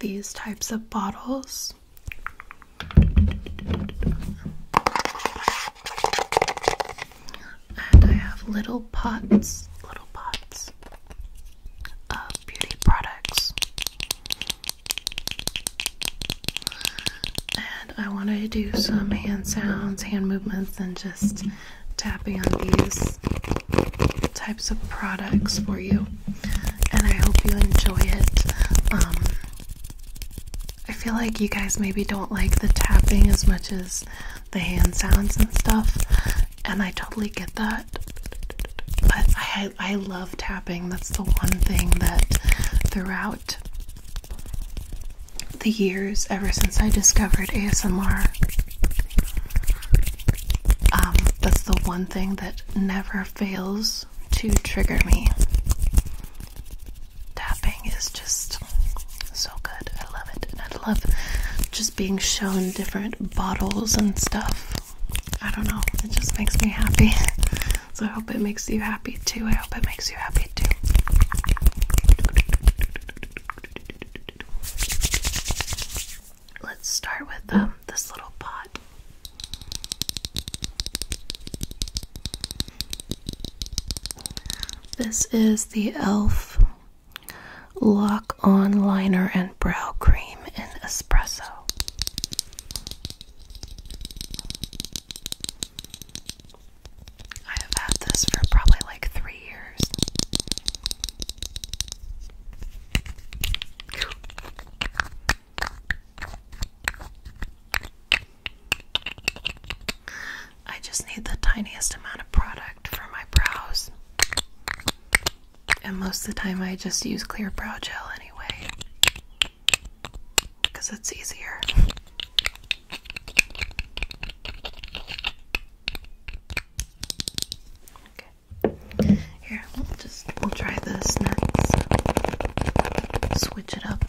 these types of bottles. And I have little pots, little pots of beauty products. And I want to do some hand sounds, hand movements, and just tapping on these types of products for you and I hope you enjoy it. Um, I feel like you guys maybe don't like the tapping as much as the hand sounds and stuff, and I totally get that. But I I love tapping. That's the one thing that throughout the years, ever since I discovered ASMR, um, that's the one thing that never fails to trigger me. Tapping is just so good. I love it. And I love just being shown different bottles and stuff. I don't know. It just makes me happy. So I hope it makes you happy too. I hope it makes you happy too. Let's start with um, this little pot. This is the e.l.f. Lock On Liner and Brow Cream in Espresso. I have had this for probably like three years. I just need the tiniest amount of product for my brows. And most of the time, I just use clear brow gel anyway because it's easier. Here, we'll just we'll try this next. Switch it up.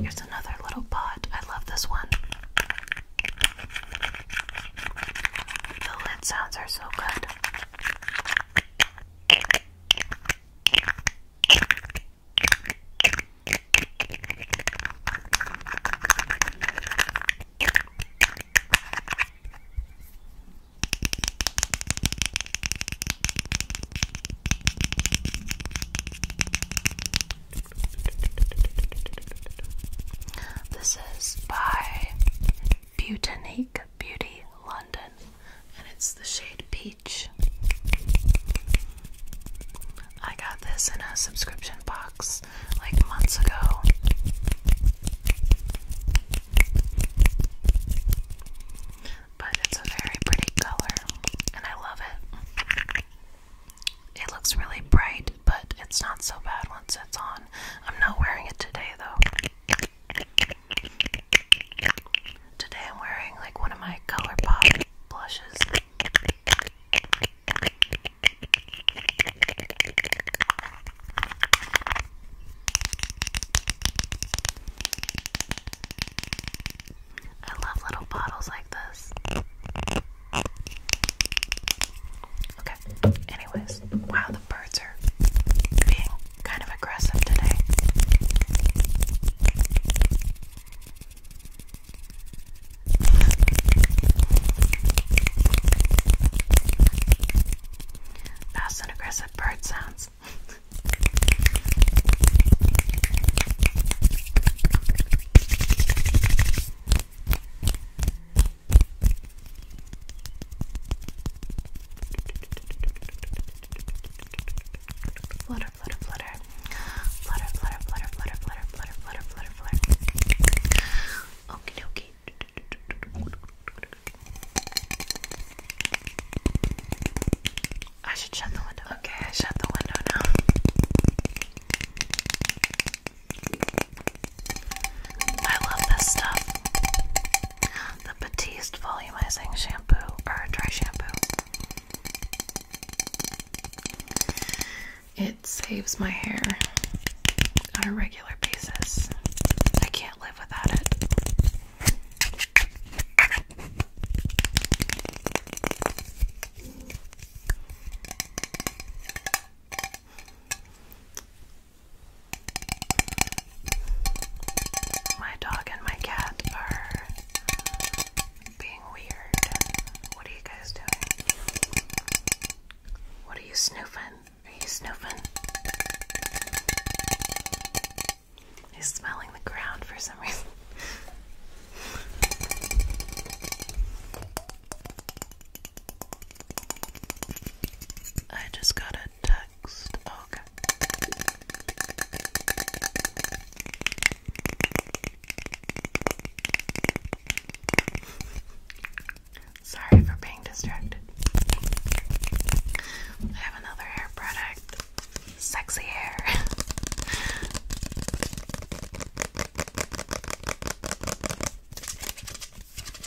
Here's another little pot. I love this one. The lid sounds are so good. This is by Butanique Beauty London, and it's the shade Peach. I got this in a subscription box like months ago. But it's a very pretty color, and I love it. It looks really bright, but it's not so bad once it's on. I'm not wearing it today, though. Today I'm wearing like one of my ColourPop blushes. I love little bottles like this. Okay. Anyways, wow, the birds are being kind of aggressive today. Fast and aggressive bird sounds. Flutter, flutter, flutter. Flutter, flutter, flutter, flutter, flutter, flutter, flutter, flutter, flutter. Okay, okay. I should shut the window. Okay, I shut the window now. I love this stuff. The Batiste Volumizing Shampoo, or Dry Shampoo. It saves my hair on a regular basis. I can't live without it. My dog and my cat are being weird. What are you guys doing? What are you snoofing? Are you snoofing? He's smelling the ground for some reason. I just got a text. Okay. Sorry for being distracted. I have another hair product. Sexy hair.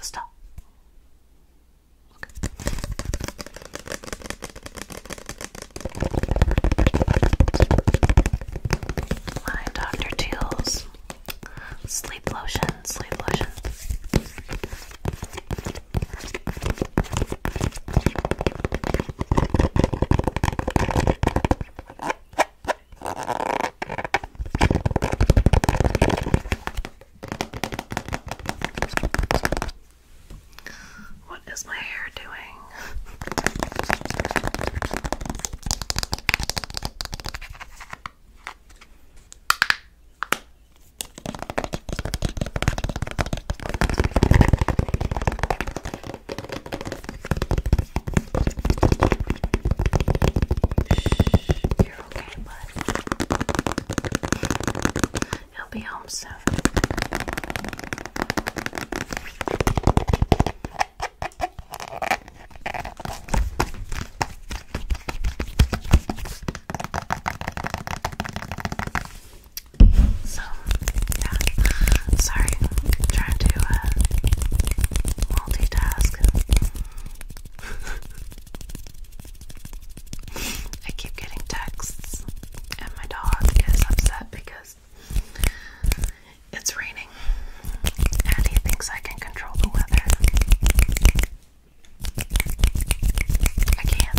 Stop. Okay. Dr. Teal's sleep lotion, sleep lotion. What is my hair doing? Shh, you're okay, bud. He'll be home soon. So, yeah, sorry, trying to uh, multitask. I keep getting texts, and my dog is upset because it's raining, and he thinks I can control the weather. I can't.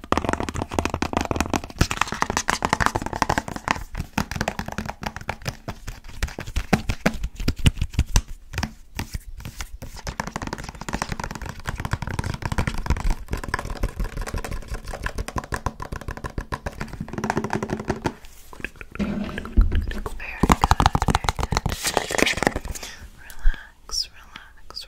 Very good, very good. Relax, relax,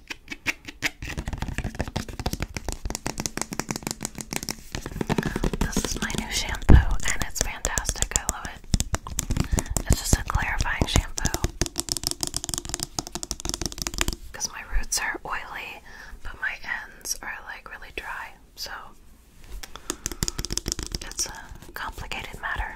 This is my new shampoo, and it's fantastic. I love it. It's just a clarifying shampoo. Because my roots are oily, but my ends are like really dry. So it's a complicated matter.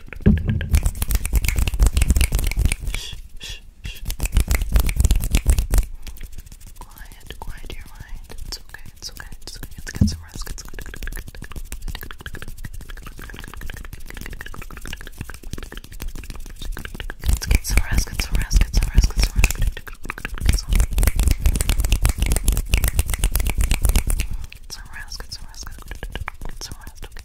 Shh, shh, shh. Quiet, quiet your mind. It's okay, it's okay, it's okay. Let's get some rest. It's good. Let's get some rest, get some rest, get some rest, get some rest. Get some rest, get some rest, get some rest, get some rest, okay.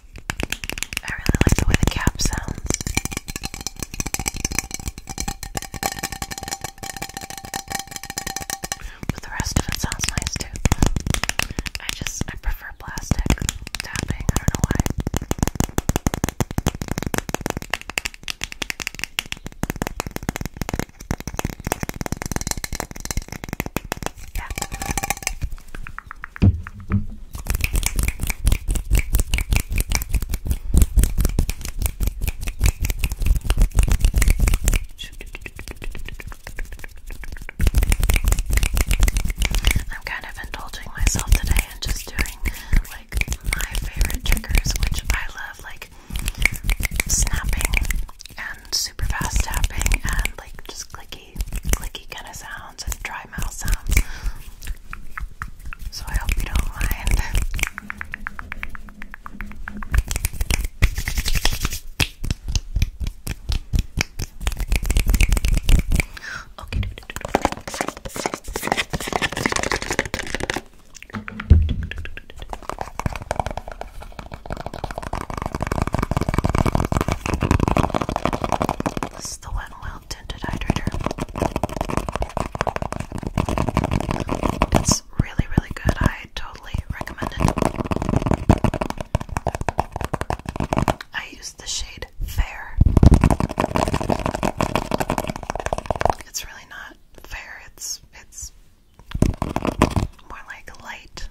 I really like the way the cap sounds. But the rest of it sounds nice too. I just, I prefer plastic tapping. I don't know why. Yeah. I'm kind of indulging myself today and just doing like my favorite triggers, which I love like snapping and super fast tapping and like just clicky, clicky kind of sound and dry mouth sounds. So I hope you don't mind. Okay tinted hydrator. It's really, really good. I totally recommend it. I use the shade Fair. It's really not fair. It's it's more like light.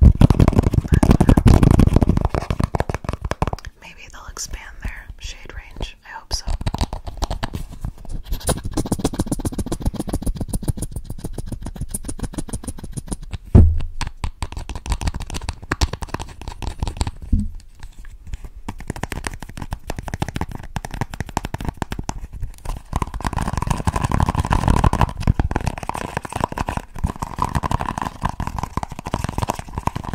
Maybe they'll expand their shade range. I hope so.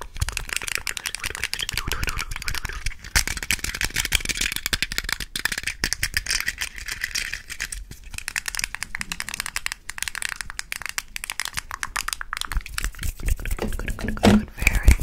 Good, good, good, good, good, very good.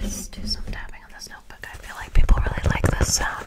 Let's do some tapping on this notebook. I feel like people really like this sound.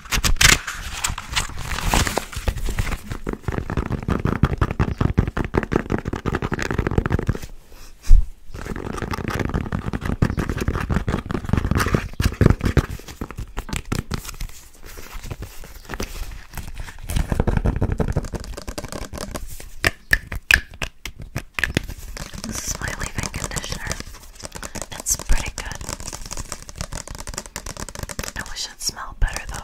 This is my leave-in conditioner. That's pretty good. I wish it smelled better though.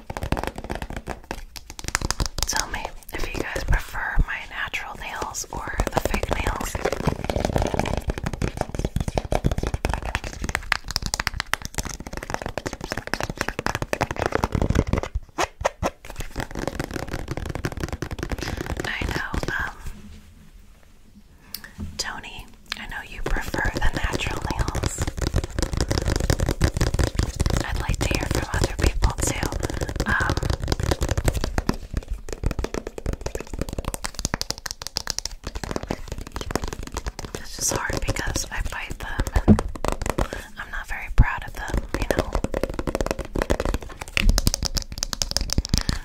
Tell me if you guys prefer my natural nails or the fake nails. I know, um, Tony, I know you prefer the natural nails. I'd like to hear from other people too. Um, this hard because I bite them and I'm not very proud of them, you know.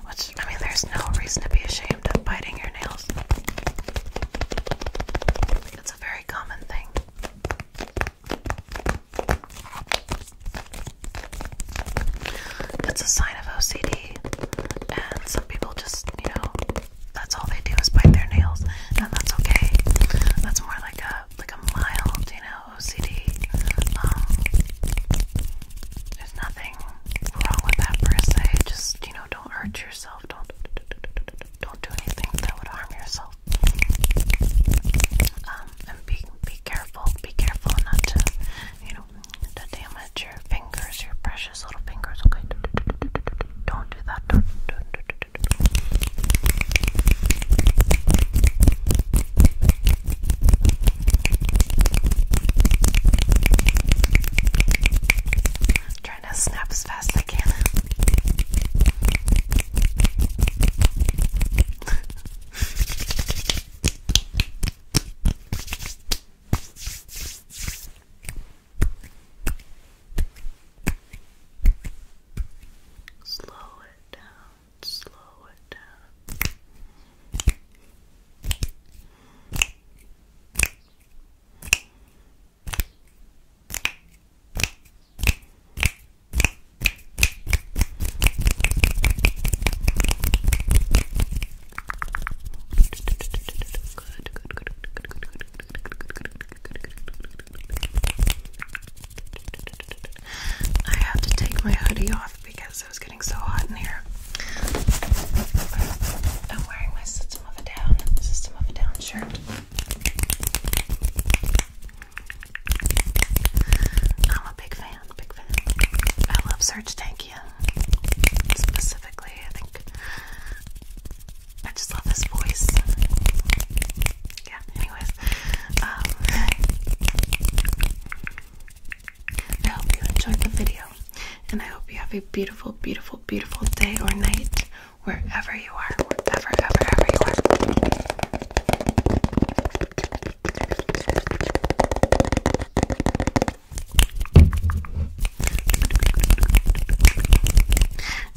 Which, I mean, there's no reason to be ashamed of biting your nails. It's a very common thing. That's a sign of OCD, and some people just, you know, that's all they do is bite their nails, and that's okay. That's more like a like a mild, you know, OCD. Um, there's nothing wrong with that per se. Just you know, don't hurt yourself. Don't don't do anything that would harm yourself. Um, and be be careful, be careful not to, you know, to damage your fingers, your precious little fingers. Okay, don't do that. I'm trying to snap as fast as I can. slow it down, slow it down. I have to take my hoodie off because it was getting so hot in here. I'm wearing my System of a Down shirt. I'm a big fan, big fan. I love Serge Tankian specifically. I think I just love his voice. Yeah. Anyways, um, I hope you enjoyed the video, and I hope you have a beautiful, beautiful, beautiful day or night wherever you are, wherever, ever, ever you are.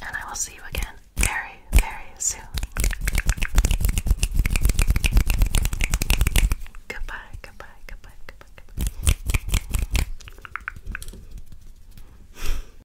And I will see you again very, very soon. Goodbye, goodbye, goodbye, goodbye, goodbye.